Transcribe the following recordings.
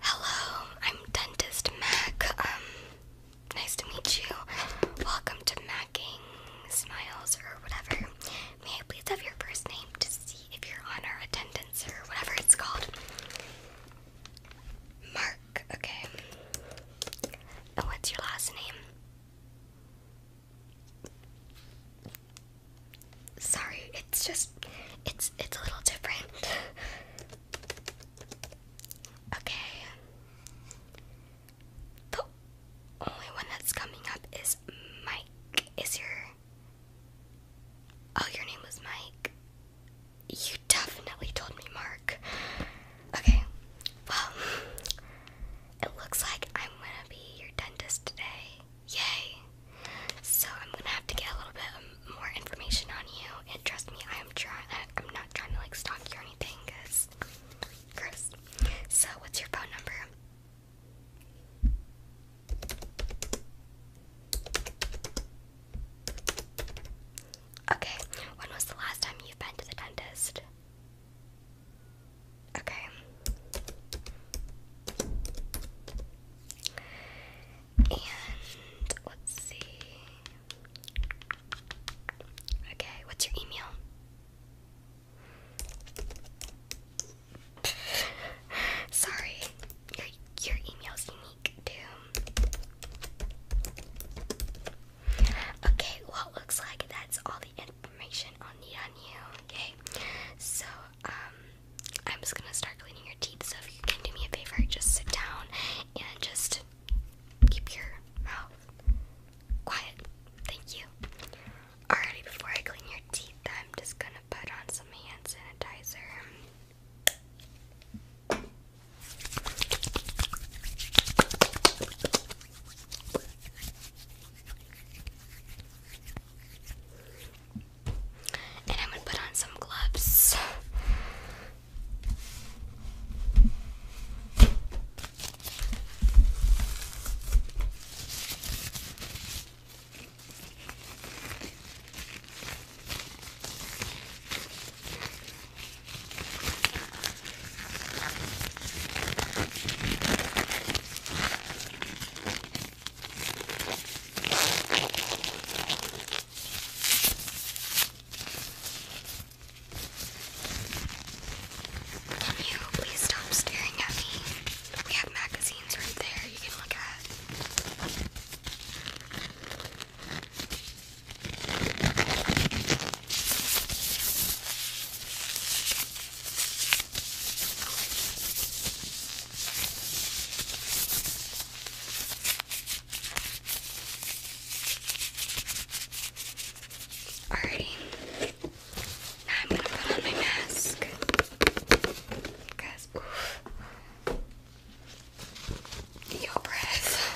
Hello, I'm Dentist Mac. Um, nice to meet you. Welcome to Macking Smiles or whatever. May I please have your first name to see if you're on our attendance or whatever it's called? Mark, okay. And what's your last name? Sorry, it's just it's it's a little different. okay. The only one that's coming up is Mike. Is your Oh, your name was Mike. You definitely told me Mark. Okay. Well, it looks like I'm gonna be your dentist today. Yay! So I'm gonna have to get a little bit more information on you. And trust me, I'm trying. I'm not trying to like stalk you or anything, cause So what's your phone number? Okay. When was the last time you've been to the dentist? Okay. And let's see. Okay, what's your email? Sorry, your your email's unique too. Okay, well looks like that's all the information I'll need on you, okay? So, um, I'm just gonna start cleaning your teeth, so if you can do me a favor, just sit down and just keep your mouth quiet. Thank you. Alrighty, before I clean your teeth, I'm just gonna put on some hand sanitizer. And I'm gonna put on some gloves. Can you please stop staring at me? We have magazines right there you can look at. Alrighty. Now I'm gonna put on my mask. Because Your breath.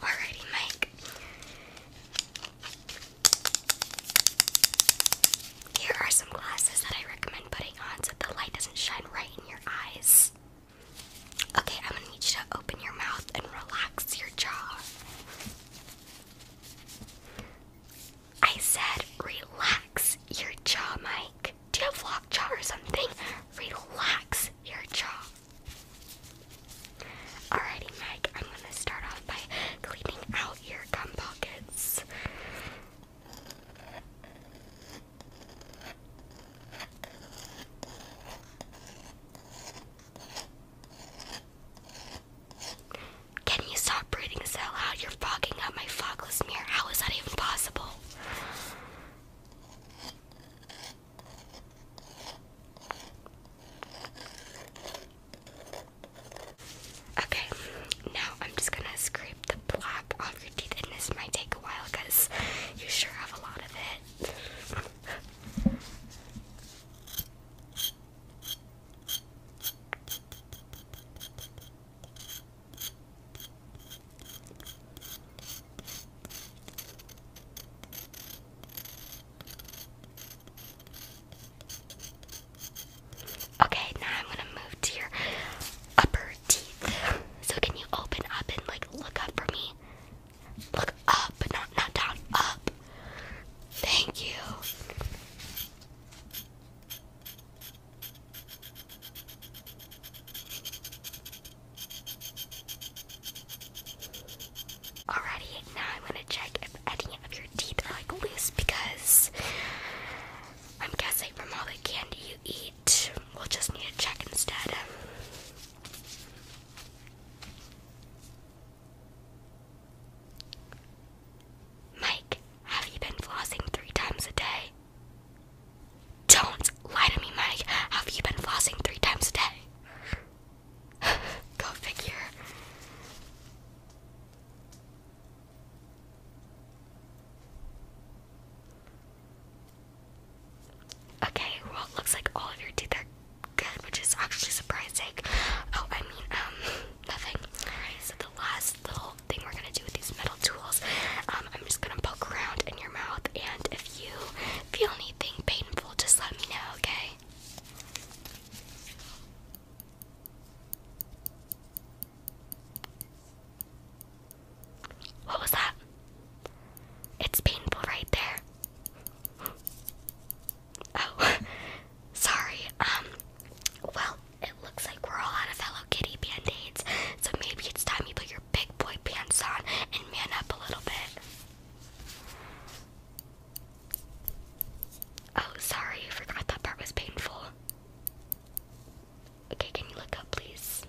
Alrighty, Mike. Here are some glasses that I recommend putting on so the light doesn't shine right in your eyes. Okay, I'm gonna need you to open your mouth and relax your jaw. I said, relax your jaw, Mike. Do you have lockjaw or something? Relax your jaw. Alrighty, Mike, I'm gonna start off by cleaning out your gum pockets. Can you stop breathing so loud? You're fogging up my fogless mirror. How is that even possible? Okay, now I'm just gonna scrape the plaque off your teeth, and this might take a while because you sure have a lot of it. Okay, now I'm gonna move to your upper teeth. So can you open up and like look up for me? Look up, but not not down. Up, Thank you. Alrighty, now I'm gonna check if any of your teeth are like loose because I'm guessing from all the candy you eat, we'll just need to check instead. Mike, have you been flossing three times a day? Don't lie to me, Mike. Have you been flossing three times a day? Go figure. Okay, well, looks like all of your teeth are good, which is actually surprising. Oh, I mean, um, nothing. Alright, so the last little thing we're gonna do with these metal tools, um, I'm just gonna poke around in your mouth, and if you feel anything painful, just let me know, okay? What was that? It's painful right there. Oh, sorry. Um, well, it looks like we're all out of Hello Kitty band aids, so maybe it's time you put your big boy pants on and man up a little bit. Oh, sorry, I forgot that part was painful. Okay, can you look up, please?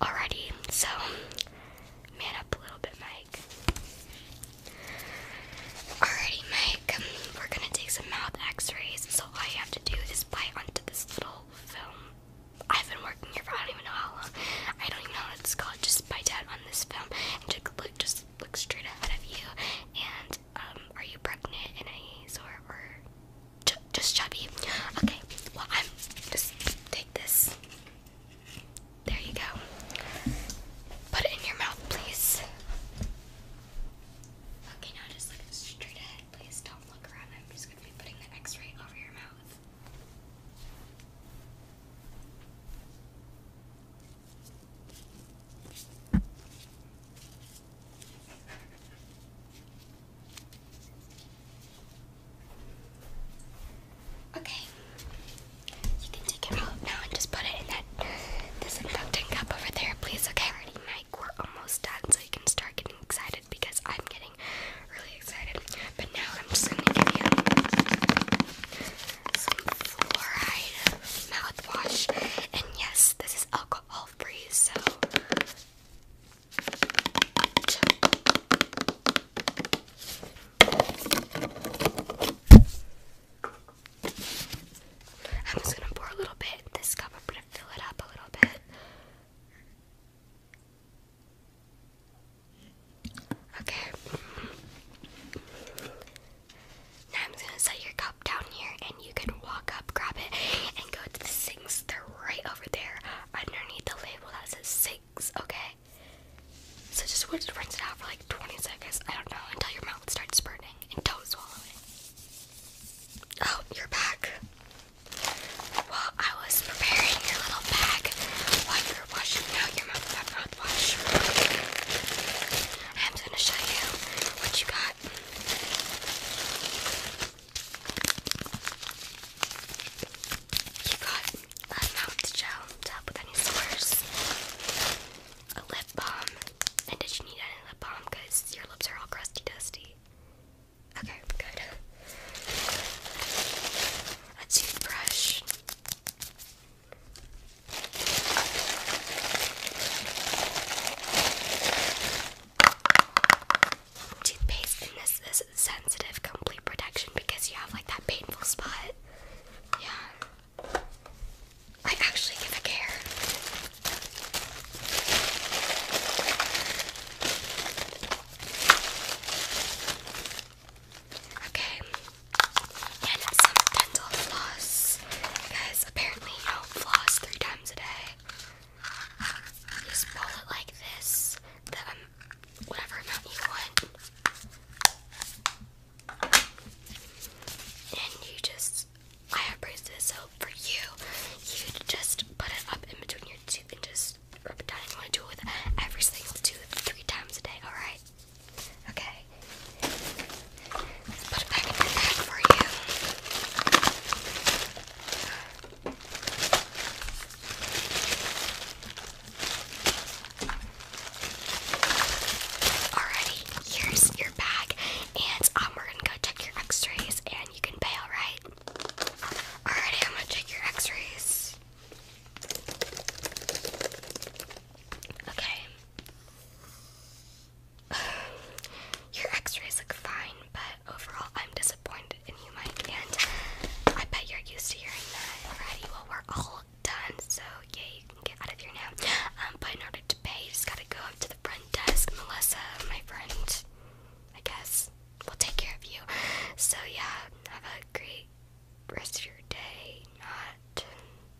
Alrighty, so man up a little bit, Mike. Alrighty, Mike, we're gonna take some mouth x rays. So, all have to do this bite onto this little film. I've been working here for I don't even know how long. I don't even know what it's called. Just bite out on this film and just look, just look straight ahead of you. And, um, are you pregnant in a sort or just chubby. Okay, well I'm just take this. There you go. Put it in your mouth, please. Okay, now just look straight ahead, please. Don't look around. I'm just gonna be putting the X-ray over your mouth. Okay. You can take it out now and just put it in that disinfectant cup over there, please, okay? Alrighty, Mike, we're almost done, so you can start getting excited because I'm getting really excited. But now I'm just gonna give you some fluoride mouthwash. And yes, this is alcohol breeze, so I'm just gonna pour a little bit this cup. I'm gonna fill it up a little bit. Okay. I'm gonna set your cup down here and you can walk up, grab it, and go to the sinks. They're right over there underneath the label that says sinks, okay? So just want to rinse it out for like 20 seconds, I don't know, until your mouth starts spitting and don't swallow it. Oh, you're back. While I was preparing your little bag while you were washing out your mouth mouthwash. I'm gonna show you what you got that. You got a mouth gel to top with any sores, a lip balm, and did you need any lip balm because your lips are all crusty dusty? Okay, good. A toothbrush. Toothpaste, in this is sensitive complete protection because you have like that painful spot. Yeah. I actually give a care. Okay. And some dental floss. Guys, apparently you don't floss three times a day. You just roll it like this, um, whatever amount you want. And you just, I have braised so for you, you just put it up in between your tooth and just rub it down. you want to do it every single tooth three times a day, alright? Okay. Let's put it back in my bag for you. Alrighty, here's your bag, and um, we're gonna go check your x-rays and you can bail, right? Alrighty, I'm gonna check your x-rays. Okay. Your x-rays look fine, but overall I'm disappointed in you, Mike, and I bet you're used to hearing that already. Well, we're all done, so yeah, you can get out of here now. Um, but in order to pay, just gotta go up to the front desk. Melissa, my friend, I guess, will take care of you. So yeah, have a great rest of your day. Not